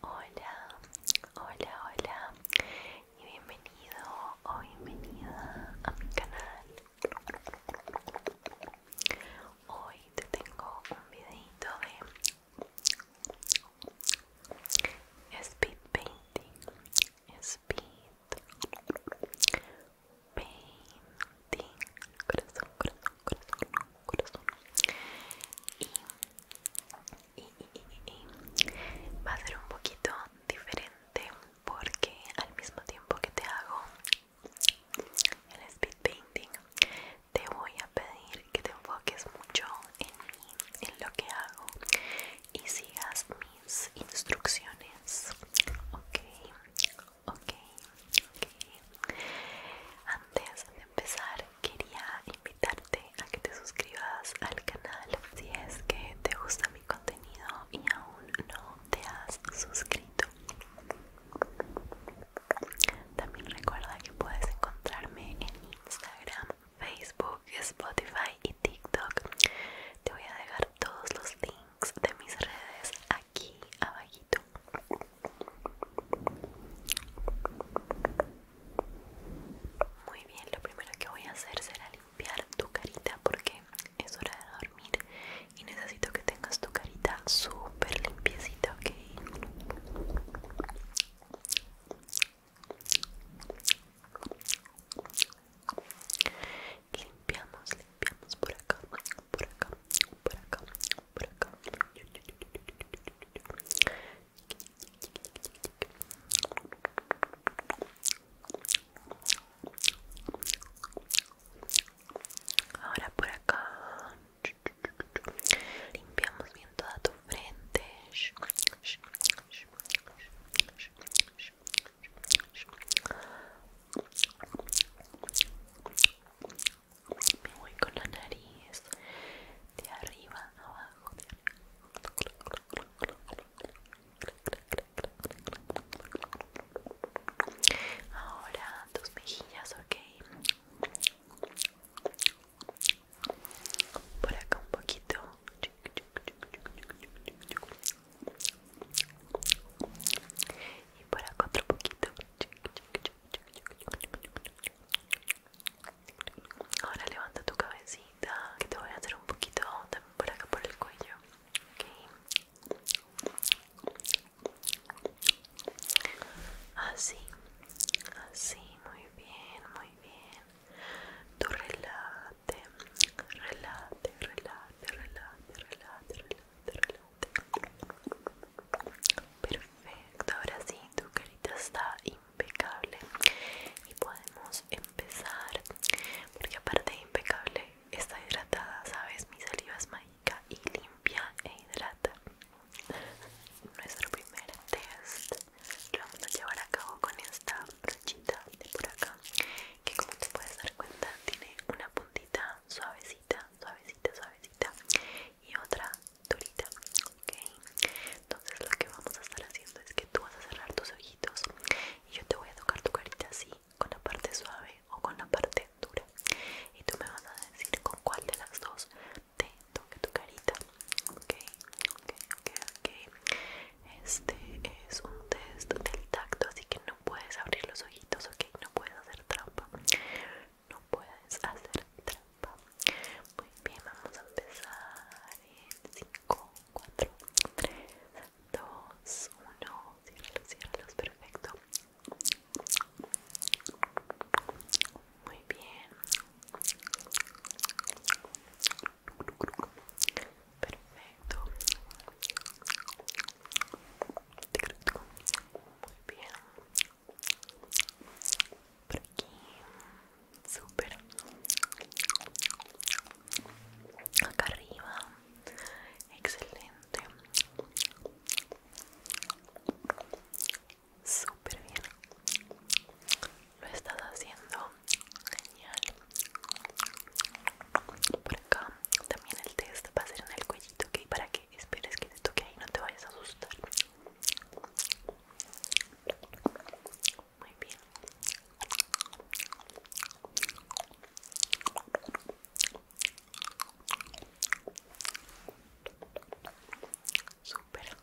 Hola, hola, hola y bienvenido o bienvenida a mi canal. Hoy te tengo un videito de speed painting, speed painting corazón, corazón, corazón, corazón. Y, va a ser un poquito diferente porque al mismo tiempo que te hago el speed painting, te voy a pedir que te enfoques mucho en mí, en lo que hago y sigas mis instrucciones. Ok, ok, ok. Antes de empezar, quería invitarte a que te suscribas al canal si es que te gusta mi contenido y aún no te has suscrito. También recuerda que puedes encontrarme en Instagram, Facebook, Spotify y TikTok. Te voy a dejar todos los links de mis redes aquí aquí abajito muy bien lo primero que voy a hacer será limpiar tu carita porque es hora de dormir y necesito que tengas tu carita súper limpiecita ok limpiamos limpiamos por acá por acá, por acá, por acá. Ahora por acá limpiamos bien toda tu frente me voy con la nariz de arriba a abajo ahora tus mejillas ok por acá un poquito y por acá otro poquito Ahora levanta tu cabecita, que te voy a hacer un poquito también por acá por el cuello. Así, así, muy bien, muy bien. Tú relate, relate, relate, relate, relate, relate. Perfecto, ahora sí, tu carita está impecable y podemos empezar porque aparte de impecable está hidratada, sabes, mi saliva es mágica y limpia e hidrata. Nuestro primer test lo vamos a llevar a cabo con esta brochita de por acá que como te puedes dar cuenta tiene una puntita suavecita, suavecita, suavecita y otra durita, ok. Entonces lo que vamos a estar haciendo es que tú vas a cerrar tus ojitos y yo te voy a tocar tu carita así, con la parte suave o con la parte dura. Y tú me vas a decir con cuál de las dos te toque tu carita, ok, ok, ok, ok. Este es un test del tacto, así que no puedes abrir los ojitos, ok, no puedes hacer trampa no puedes hacer trampa. Muy bien, vamos a empezar en 5, 4, 3, 2, 1. cierra los, perfecto. Muy bien. Perfecto. Muy bien. Por aquí súper acá arriba excelente súper bien lo estás haciendo genial por acá también el test va a ser en el cuellito ¿ok? para qué? esperes que te toque ahí, no te vayas a asustar. Muy bien. Súper.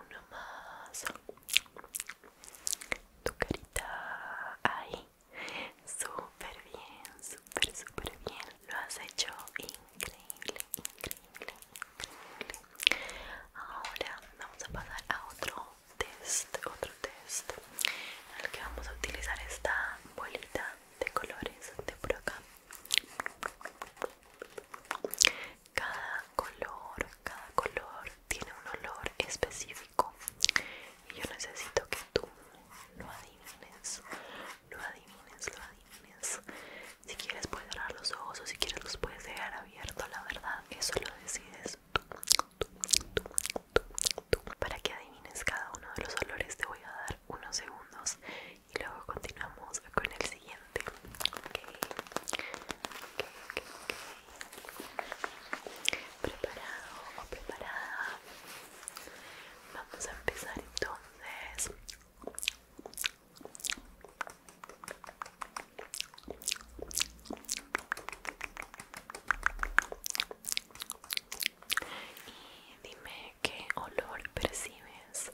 Uno más. Tu carita. Ahí. Súper bien, súper, súper bien. Lo has hecho increíble, increíble, increíble. Ahora vamos a pasar a otro test, otro test. En el que vamos a utilizar esta bolita de colores de por acá. Cada color, cada color tiene un olor específico y yo necesito que tú lo adivines, lo adivines, lo adivines. Si quieres puedes cerrar los ojos o si quieres los puedes dejar abiertos, la verdad, eso lo decides tú, Para que adivines cada uno de los olores te voy a dar unos segundos y luego continuamos con el siguiente. Preparado o preparada. Vamos a empezar entonces. Y dime qué olor percibes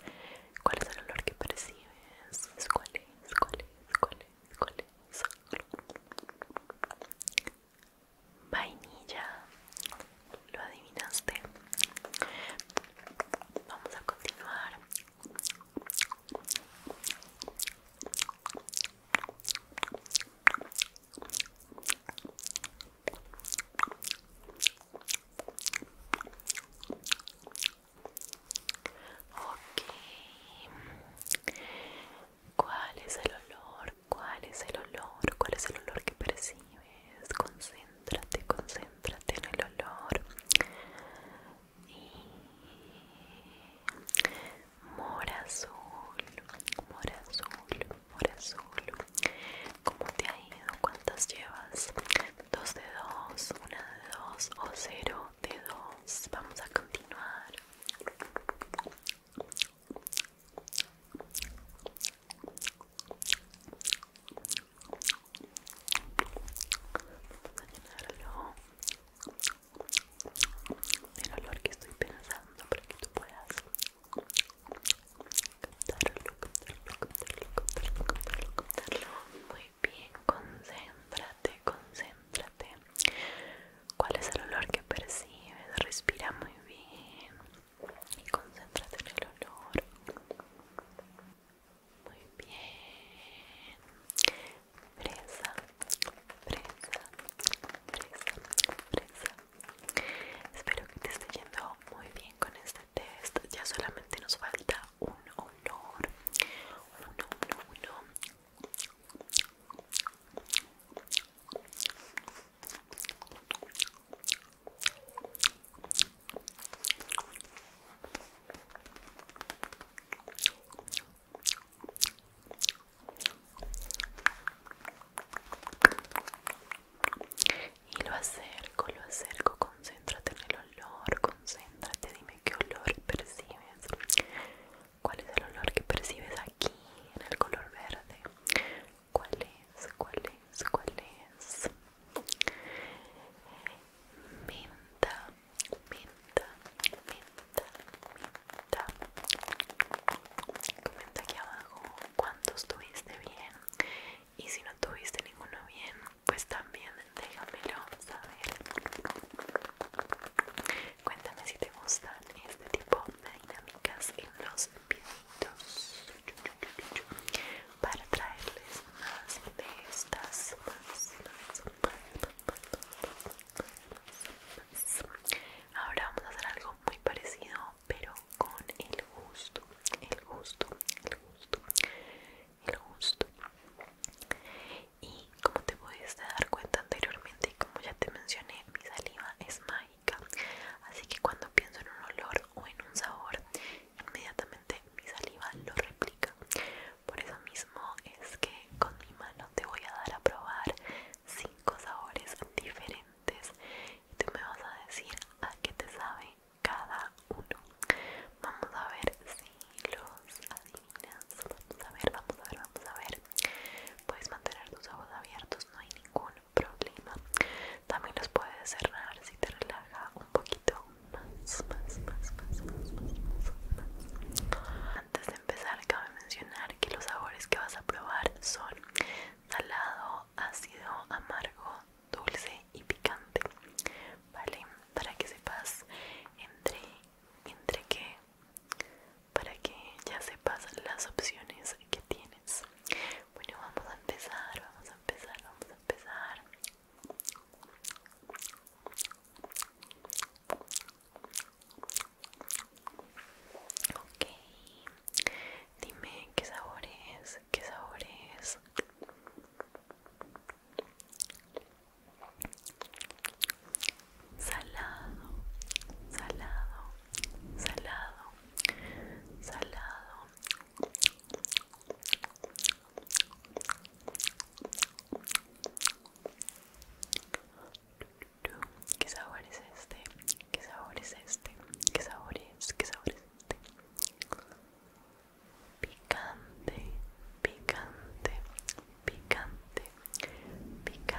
¿Cuál es el olor que percibes? ¿Cuál es? ¿Cuál es? ¿Cuál es? ¿Cuál es? Vainilla. ¿Lo adivinaste? Vamos a continuar. Ok. ¿Cuál es el olor? ¿Cuál es el olor? ¿Cuál es el olor que percibes? Concéntrate, concéntrate en el olor. Y... Mora azul, ¿Cómo te ha ido? ¿Cuántas llevas? Dos de dos 1 de dos o cero de 2. Vamos a continuar. Vamos a llenarlo el olor que estoy pensando para que tú puedas Contarlo, contarlo, contarlo, contarlo, contarlo, Muy bien, concéntrate, concéntrate. ¿Cuál es el olor que percibes? Respira muy bien y concéntrate en el olor. Muy bien. Presa. Presa. Presa. fresa. Espero que te esté yendo muy bien con esta test. Ya solamente nos falta un olor. uno, uno y lo acerco, lo acerco, concéntrate en el olor, concéntrate, dime qué olor percibes, cuál es el olor que percibes aquí en el color verde, cuál es, cuál es, cuál es, menta, menta, menta, menta, comenta aquí abajo cuánto estuviste bien y si no tuviste ninguno bien pues también déjamelo saber cuéntame si te gustan este tipo de dinámicas en los videitos para traerles más de estas ahora vamos a hacer algo muy parecido pero con el gusto, el gusto, el gusto, el gusto. Y como te pudiste dar cuenta anteriormente y como ya te mencioné, mi saliva es mágica. Así que cuando pienso en un olor o en un sabor, inmediatamente mi saliva lo replica. Por eso mismo es que con mi mano te voy a dar a probar cinco sabores diferentes y tú me vas a decir a ah, qué te sabe cada uno. Vamos a ver si los adivinas. Vamos a ver, vamos a ver, vamos a ver. Puedes mantener tus ojos abiertos, no hay ningún problema. También los puedes cerrar si te relaja un poquito más, Antes de empezar, cabe mencionar que los sabores que vas a probar son salado, ácido, amargo, dulce y picante. ¿Vale? Para que sepas entre, entre qué, para que ya sepas las opciones que tienes. Bueno, vamos a empezar, vamos a empezar, vamos a empezar. Ok, Dime qué sabor es, qué sabor es. Salado, salado, salado, salado. ¿Qué sabor es este? ¿Qué sabor es este? ¿Qué sabor es? ¿Qué sabor es este? picante, picante, picante, picante.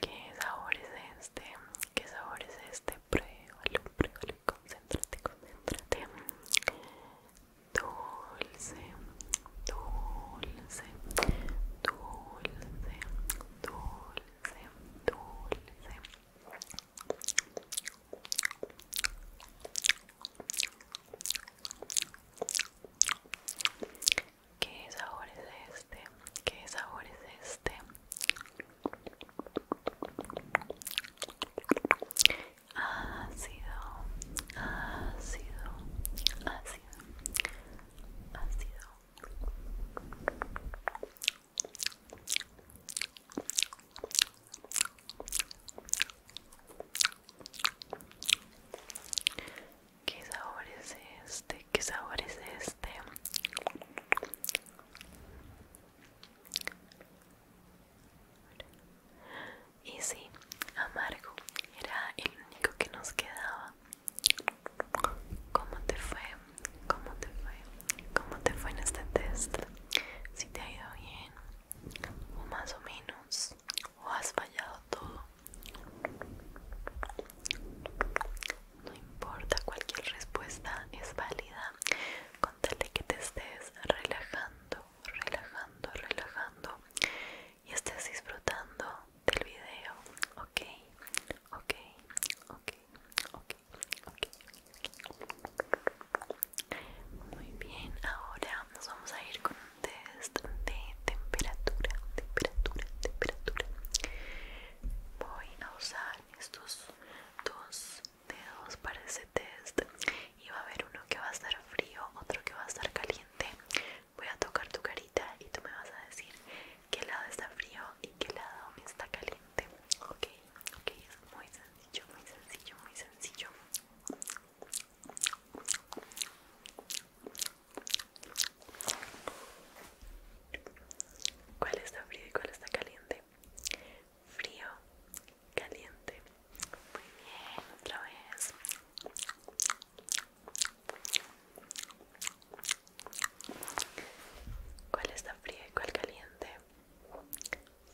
¿Qué sabor es este? ¿Qué sabor es este? Pruébalo, pruébalo, concéntrate, concéntrate dulce, dulce, dulce, dulce, dulce. ¿Qué sabor es este? ¿Qué sabor es este? ácido, ácido, ácido, ácido. ¿Qué sabor es este? ¿Qué sabor es este? Y si amargo era el único que nos quedaba. ¿Cómo te fue? ¿Cómo te fue? ¿Cómo te fue en este test? ¿Si te ha ido bien? ¿O más o menos? ¿O has fallado todo? No importa, cualquier respuesta es válida. Contale que te estés relajando relajando, relajando y estés disfrutando del video, ok, ok, ok, ok, ok. Muy bien, ahora nos vamos a ir con un test de temperatura, temperatura, temperatura. Voy a usar estos dos dos para ese test y va a haber uno que va a estar frío, otro que va a estar caliente. Voy a tocar tu carita y tú me vas a decir qué lado está frío y qué lado está caliente. Ok, ok, es muy sencillo, muy sencillo, muy sencillo. ¿Cuál está frío y cuál está caliente? frío, caliente. Muy bien, otra vez. ¿Cuál está frío y cuál caliente?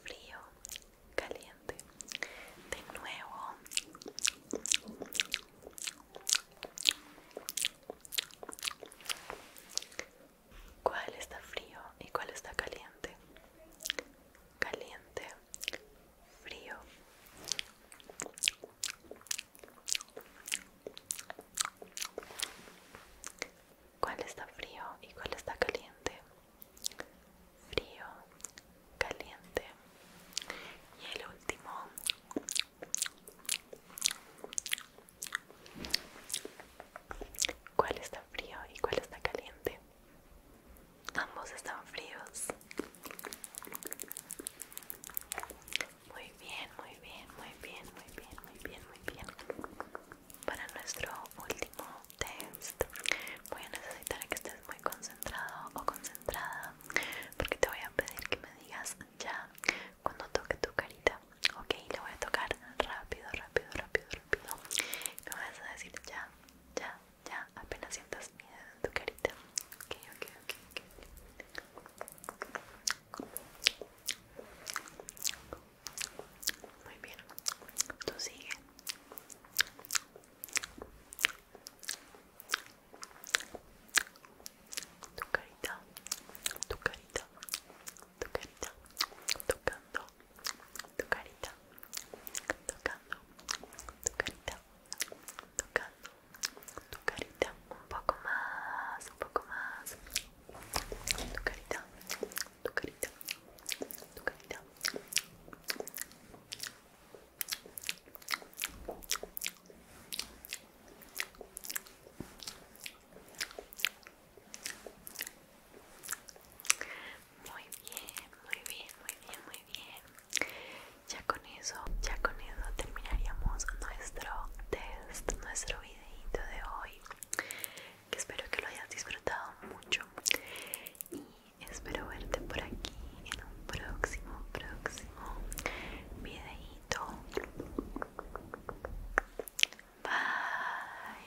Frío, caliente. De nuevo. ¿Cuál está frío y cuál está caliente? caliente, frío. ¿Cuál está frío y cuál está caliente? Frío, caliente. Y el último. ¿Cuál está frío y cuál está caliente? Ambos están fríos. Muy bien, muy bien, muy bien, muy bien, muy bien, muy bien. Para nuestro último test voy a necesitar que estés muy concentrado o concentrada porque te voy a pedir que me digas ya cuando toque tu carita. Ok, le voy a tocar rápido, rápido, rápido, rápido. Me vas a decir ya, ya, ya apenas sientas miedo en tu carita. Muy bien, tú sigue. Tu carita, tu carita, tu carita, tocando, tu carita, tocando tu carita, tocando tu carita, un poco más, un poco más, tu carita, tu carita, tu carita. Muy bien, muy bien, muy bien, muy bien. Ya con eso, ya con eso terminaríamos nuestro test, nuestro videíto de hoy. Que espero que lo hayas disfrutado mucho. Y espero verte por aquí en un próximo, próximo videíto Bye.